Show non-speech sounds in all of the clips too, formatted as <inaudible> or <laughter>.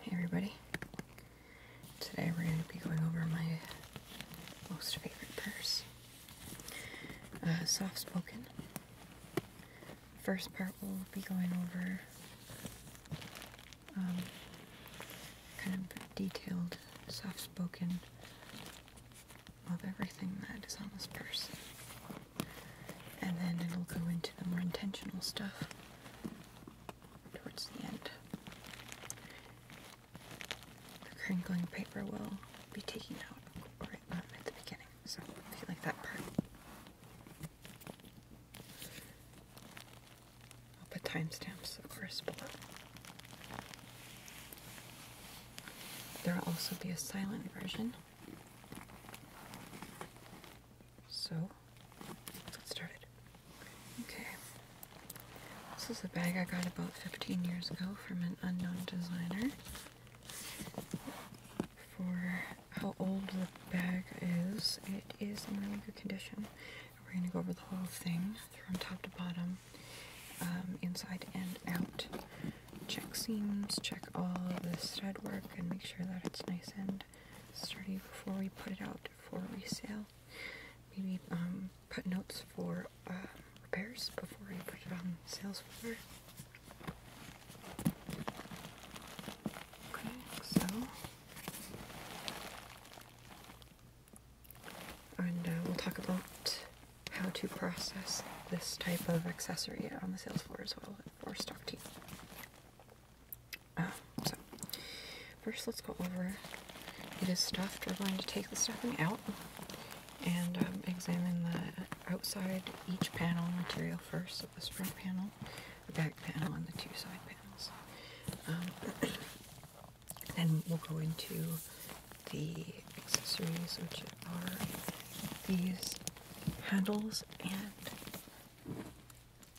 Hey everybody. Today we're going to be going over my most favorite purse. Uh, soft spoken. First part we'll be going over um, kind of detailed, soft spoken of everything that is on this purse and then it'll go into the more intentional stuff towards the end. The crinkling paper will be taken out right um, at the beginning, so if you like that part. I'll put timestamps, of course, below. There will also be a silent version so, let's get started. Okay. This is a bag I got about 15 years ago from an unknown designer. For how old the bag is, it is in really good condition. We're going to go over the whole thing from top to bottom, um, inside and out check seams, check all the stud work, and make sure that it's nice and sturdy before we put it out for resale. Maybe um, put notes for uh, repairs before we put it on sales floor. Okay, so. And uh, we'll talk about how to process this type of accessory on the sales floor as well um, first let's go over, it is stuffed, we're going to take the stuffing out and um, examine the outside each panel material first, so this front panel, the back panel, and the two side panels. Um, <clears throat> then we'll go into the accessories, which are these handles and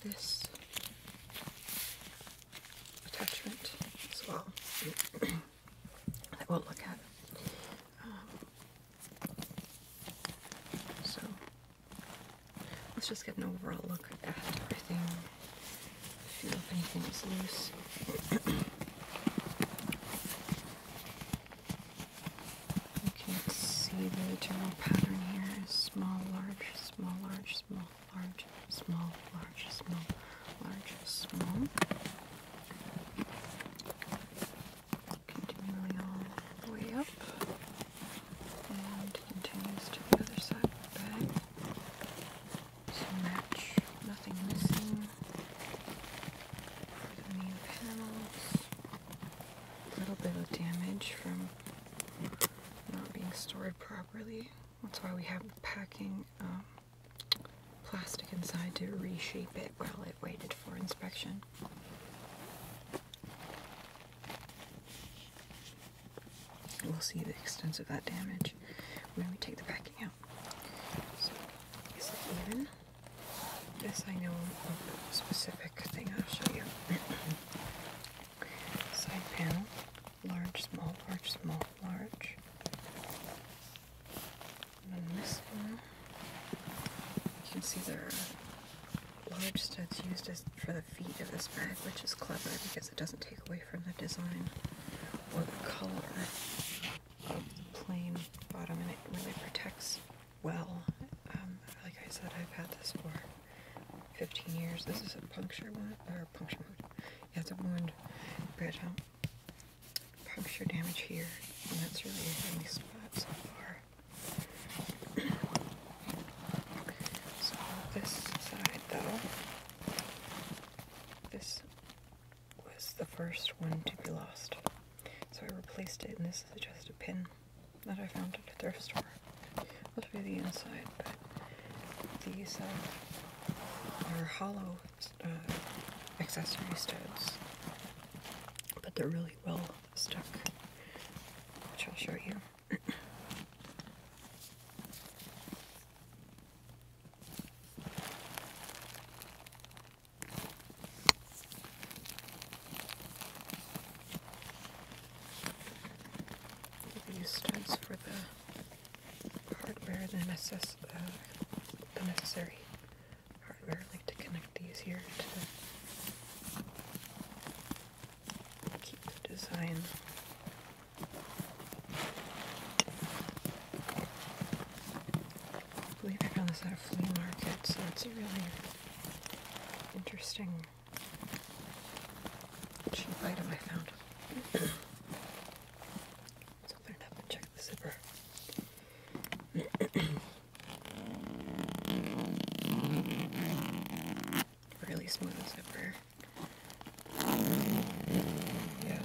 this attachment as well <clears throat> that we'll look at. Um, so let's just get an overall look at everything. Feel if anything is loose. <clears throat> You can see the general pattern here: small, large, small, large, small, large, small, large, small, large, small. Continuing all the way up and continues to the other side of the bag. So match, nothing missing. A little bit of damage from not being stored properly. That's why we have the packing um, plastic inside to reshape it while it waited for inspection. We'll see the extent of that damage when we take the packing out. is it even? This I know a specific thing I'll show you. <coughs> Side panel, large, small, large, small, large. And you can see there large studs used as for the feet of this bag, which is clever because it doesn't take away from the design or the color of the plain bottom, and it really protects well. Um, like I said, I've had this for 15 years. This is a puncture wound, or puncture wound. Yeah, it's a wound, but um, puncture damage here, and that's really the only spot so far. so this side, though, this was the first one to be lost. So I replaced it, and this is just a pin that I found at a thrift store. I'll show you the inside, but these are hollow uh, accessory studs, but they're really well stuck, which I'll show you. W stands for the hardware the, necess uh, the necessary hardware. like to connect these here to keep the design. I believe I found this at a flea market, so it's a really interesting cheap item I found. Let's open it up and check the zipper. <clears throat> really smooth zipper. Yeah.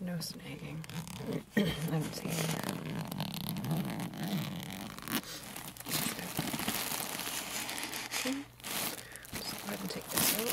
No snagging. I'm seeing that. Okay. go ahead and take this out.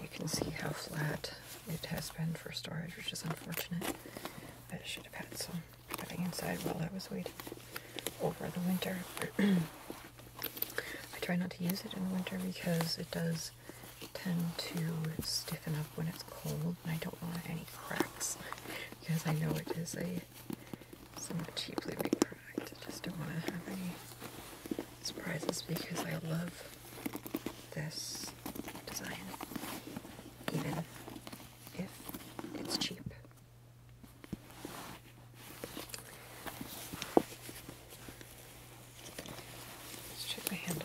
you can see how flat it has been for storage, which is unfortunate. I should have had some putting inside while I was waiting over the winter. <clears throat> I try not to use it in the winter because it does tend to stiffen up when it's cold I don't want any cracks because I know it is a somewhat cheaply made product. I just don't want to have any surprises because I love this design even if it's cheap. Let's check my handles.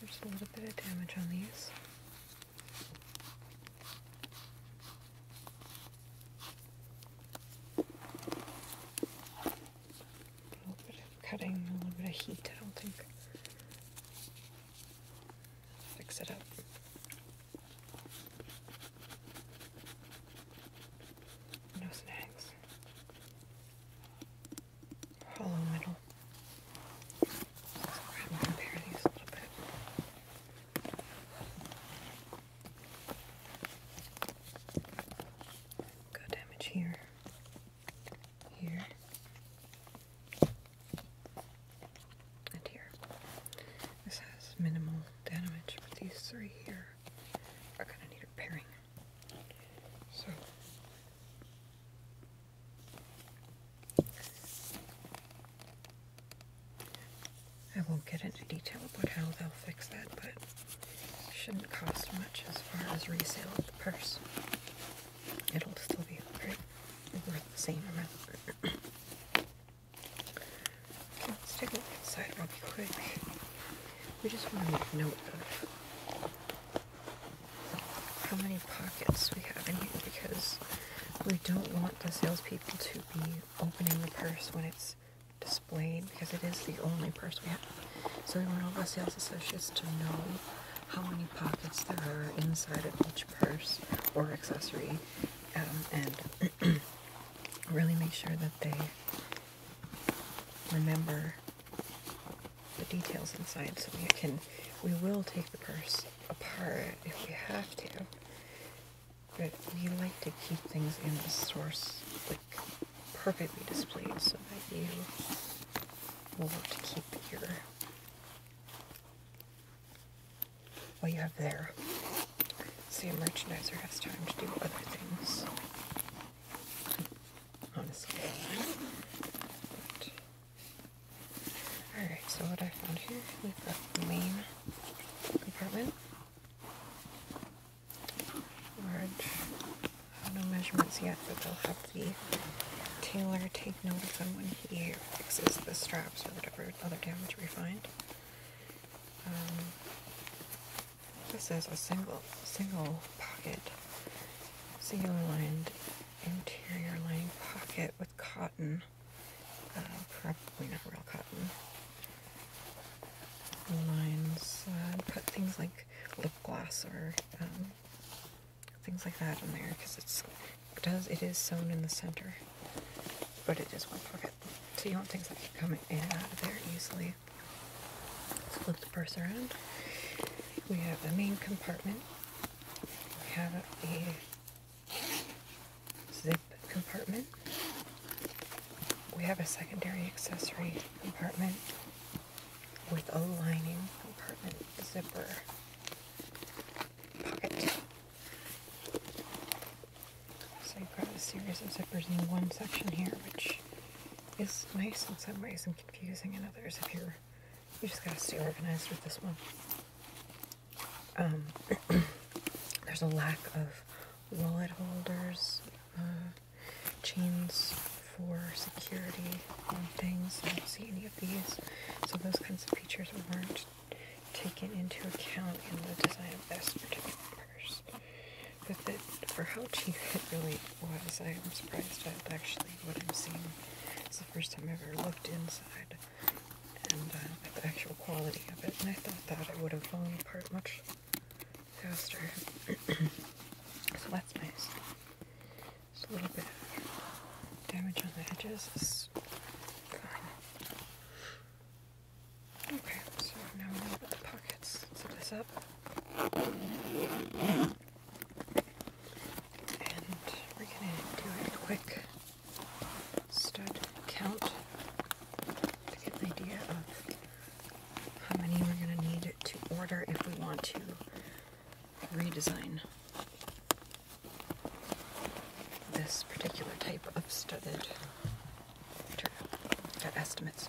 There's a little bit of damage on these. A little bit of cutting, a little bit of heat, I don't think. Fix it up. No snags hollow middle. I'm going to compare these a little bit. Got damage here, here, and here. This has minimal damage, but these three here are going to need repairing. So, I won't get into detail about how they'll fix that, but it shouldn't cost much as far as resale of the purse. It'll still be worth the same amount. <clears throat> okay, let's take a look inside real quick. We just want to make note of how many pockets we have in here because we don't want the salespeople to be opening the purse when it's displayed because it is the only purse we have. So we want all our sales associates to know how many pockets there are inside of each purse or accessory um, and <clears throat> really make sure that they remember the details inside so we can we will take the purse apart if we have to but we like to keep things in the source like perfectly displayed so that you will want to keep your what you have there See, a merchandiser has time to do other things on Alright, so what I found here, we've got the main compartment. Large, no measurements yet, but they'll have the tailor take note of them when he fixes the straps or whatever other damage we find. Um, this is a single, single pocket. Single lined interior lining pocket with cotton. Uh, probably not real cotton. Lines. Uh, put things like lip gloss or um, things like that in there because it's does it is sewn in the center, but it is one pocket, so you want things that can come in and out of there easily. Let's flip the purse around. We have the main compartment. We have a zip compartment. We have a secondary accessory compartment with a lining compartment zipper pocket. So you've got a series of zippers in one section here, which is nice in some ways and confusing in others if you're you just gotta stay organized with this one. Um, <clears throat> there's a lack of wallet holders, uh, chains for security things. I don't see any of these. So those kinds of features weren't taken into account in the design of this particular purse. But for how cheap it really was, I'm surprised it actually what I'm seeing. It's the first time I've ever looked inside and uh, the actual quality of it, and I thought that it would have fallen apart much faster. <clears throat> so that's nice. Just a little bit damage on the edges fine. Okay, so now we're going to put the pockets. Zip this up. And we're going to do a quick stud count to get an idea of how many we're going to need to order if we want to redesign this particular type of studded got estimates.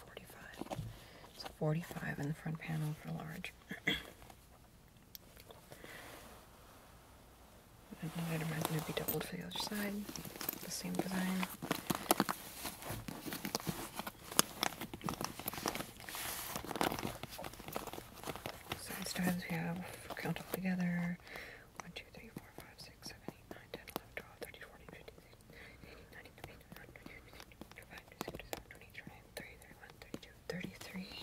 45. So 45 in the front panel for large. <clears throat> I'd imagine it'd be doubled for the other side. The same design side strands we have, count all together 1, 2, 3, 4, 5, 6, 7, 8, 9, 10, 11, 12, 13, 14, 15, 16, 17, 18, 19, 20, 21, 22, 23, 33.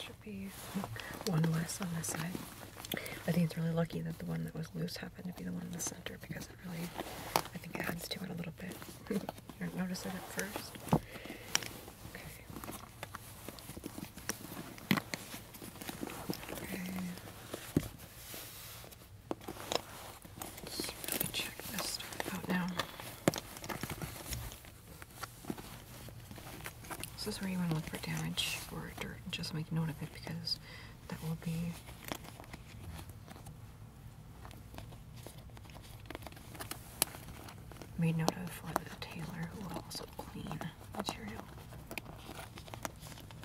Should be one less on this side. I think it's really lucky that the one that was loose happened to be the one in the center because it really, I think, adds to it a little bit. you don't notice it at first. Let's check this stuff out now. This is where you want to look for damage or dirt and just make note of it because that will be Made note of for the tailor who will also clean material.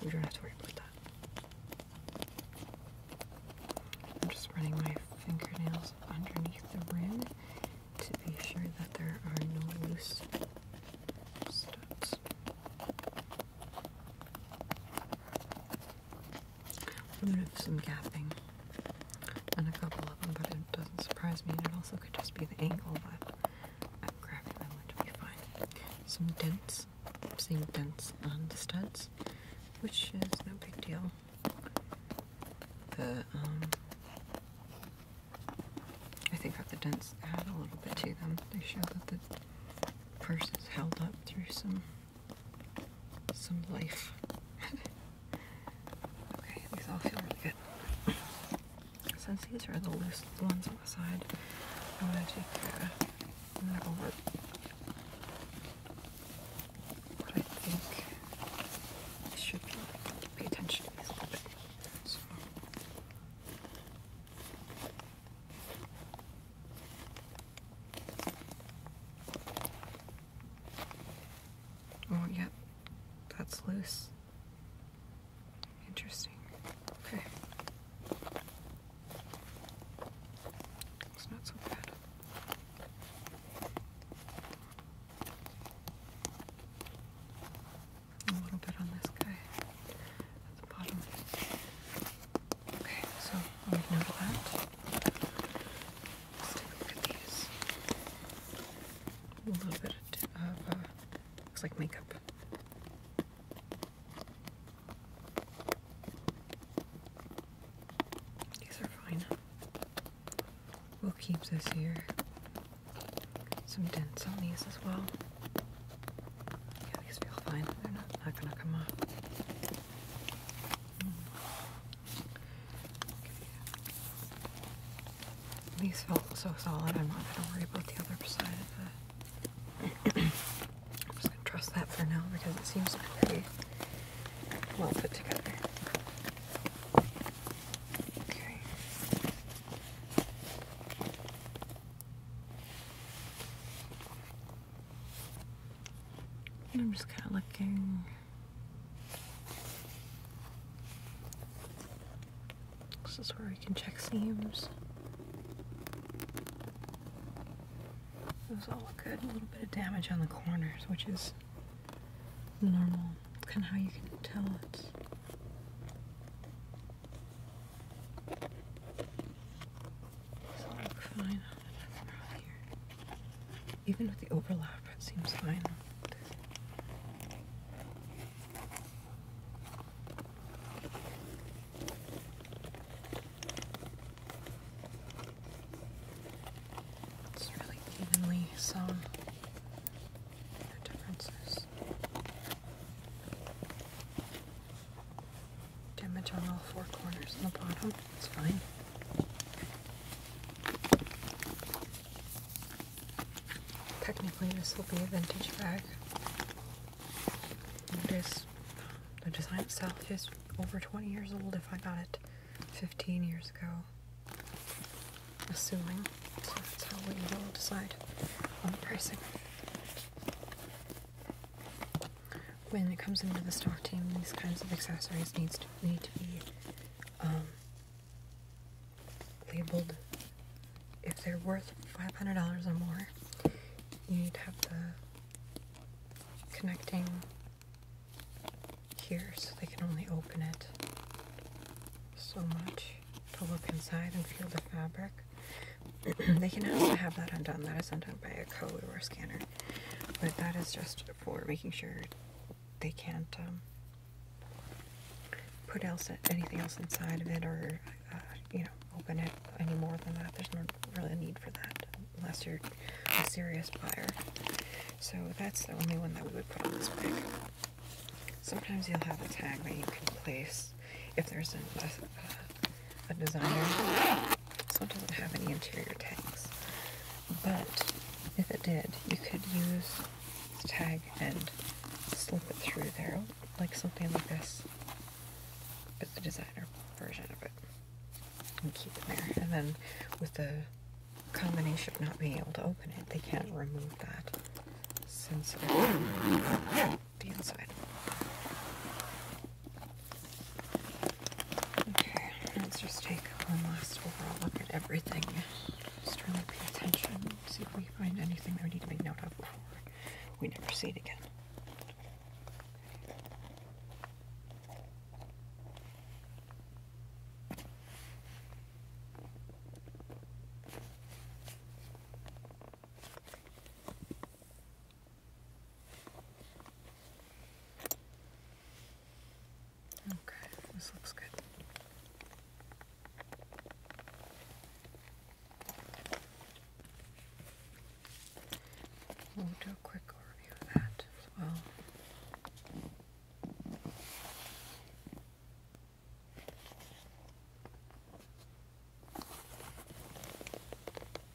You don't have to worry about that. I'm just running my fingernails underneath the rim to be sure that there are no loose studs. I'm gonna have some gapping and a couple of them, but it doesn't surprise me. And it also could just be the angle, but I'm grabbing them, which will be fine. Some dents. I'm seeing dents on the studs, which is no big deal. The um, I think that the dents add a little bit to them. They show that the purse is held up through some some life. <laughs> Okay, these all feel really good. Since these are the loose ones on the side, I'm gonna take uh, I'm going I think I should be like. Pay attention to these a Oh, yep. That's loose. Interesting. Okay. It's not so bad. A little bit on this guy at the bottom. Okay, so I've noted that a look at these. A little bit of, looks like makeup. These are fine. We'll keep this here. Some dents on these as well. Yeah, these feel fine. They're not, not gonna come off. These felt so solid, I'm not going to worry about the other side of it. I'm just going to trust that for now because it seems pretty well put together. Okay. I'm just kind of looking this is where we can check seams. Those all look good. A little bit of damage on the corners, which is normal. Kind of how you can tell it's all fine. Even with the overlap, it seems fine. It's really evenly sewn. No differences. Damage on all four corners on the bottom. It's fine. Technically, this will be a vintage bag. the design itself is over 20 years old if I got it 15 years ago. Assuming. So that's how we will decide on the pricing. When it comes into the stock team, these kinds of accessories needs to need to be um, labeled if they're worth $500 or more. You need to have the connecting here so they can only open it so much to look inside and feel the fabric. <clears throat> they can also have that undone. That is undone by a co or scanner. But that is just for making sure they can't um, put else anything else inside of it or uh, you know open it any more than that. There's no really need for that unless you're a serious buyer. So that's the only one that we would put on this bag. Sometimes you'll have a tag that you can place if there's a designer so it doesn't have any interior tags. But if it did, you could use this tag and slip it through there, like something like this, but the designer version of it, and keep it there. And then with the combination of not being able to open it, they can't remove that since the inside. Okay, let's just take one last overall look at everything. Just really pay attention, see if we find anything that we need to make note of before we never see it again. Okay, this looks good. We'll do a quick overview of that as well.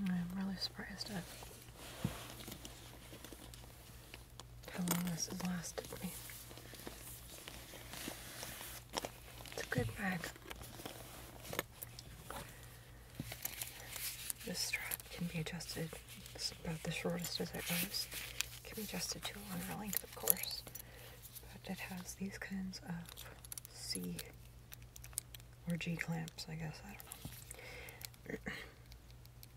I'm really surprised at how long this has lasted me. It's a good bag. This strap can be adjusted. It's about the shortest as it goes. It can be adjusted to a longer length, of course. But it has these kinds of C or G clamps, I guess. I don't know.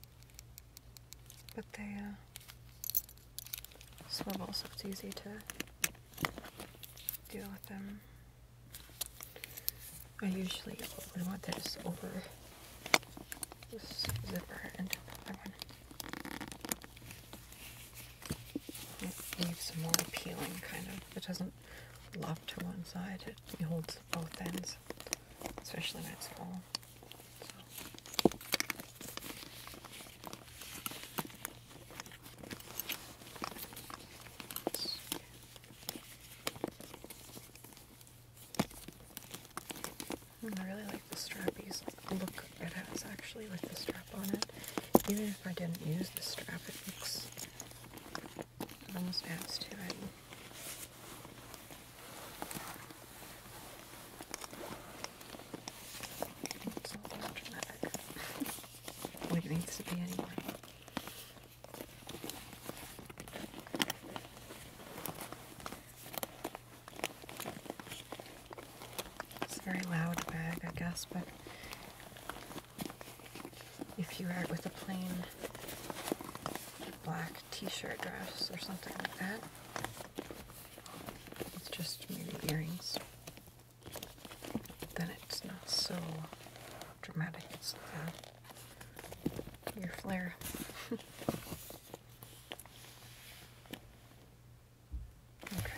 <clears throat> but they uh, swivel, so it's easy to deal with them. I usually, I want this over this zipper into another one. It leaves more appealing, kind of. It doesn't lop to one side, it holds both ends, especially when it's full. I really like the strappy look it has actually with the strap on it. Even if I didn't use the strap, it looks, it almost adds to it. It's not that dramatic. what it needs to be anyway. It's very loud bag, I guess, but if you wear it with a plain black t-shirt dress or something like that, it's just maybe earrings, then it's not so dramatic. It's uh, your flair. okay.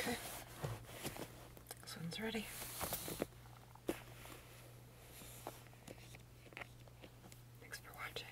Okay, this one's ready. Thanks for watching.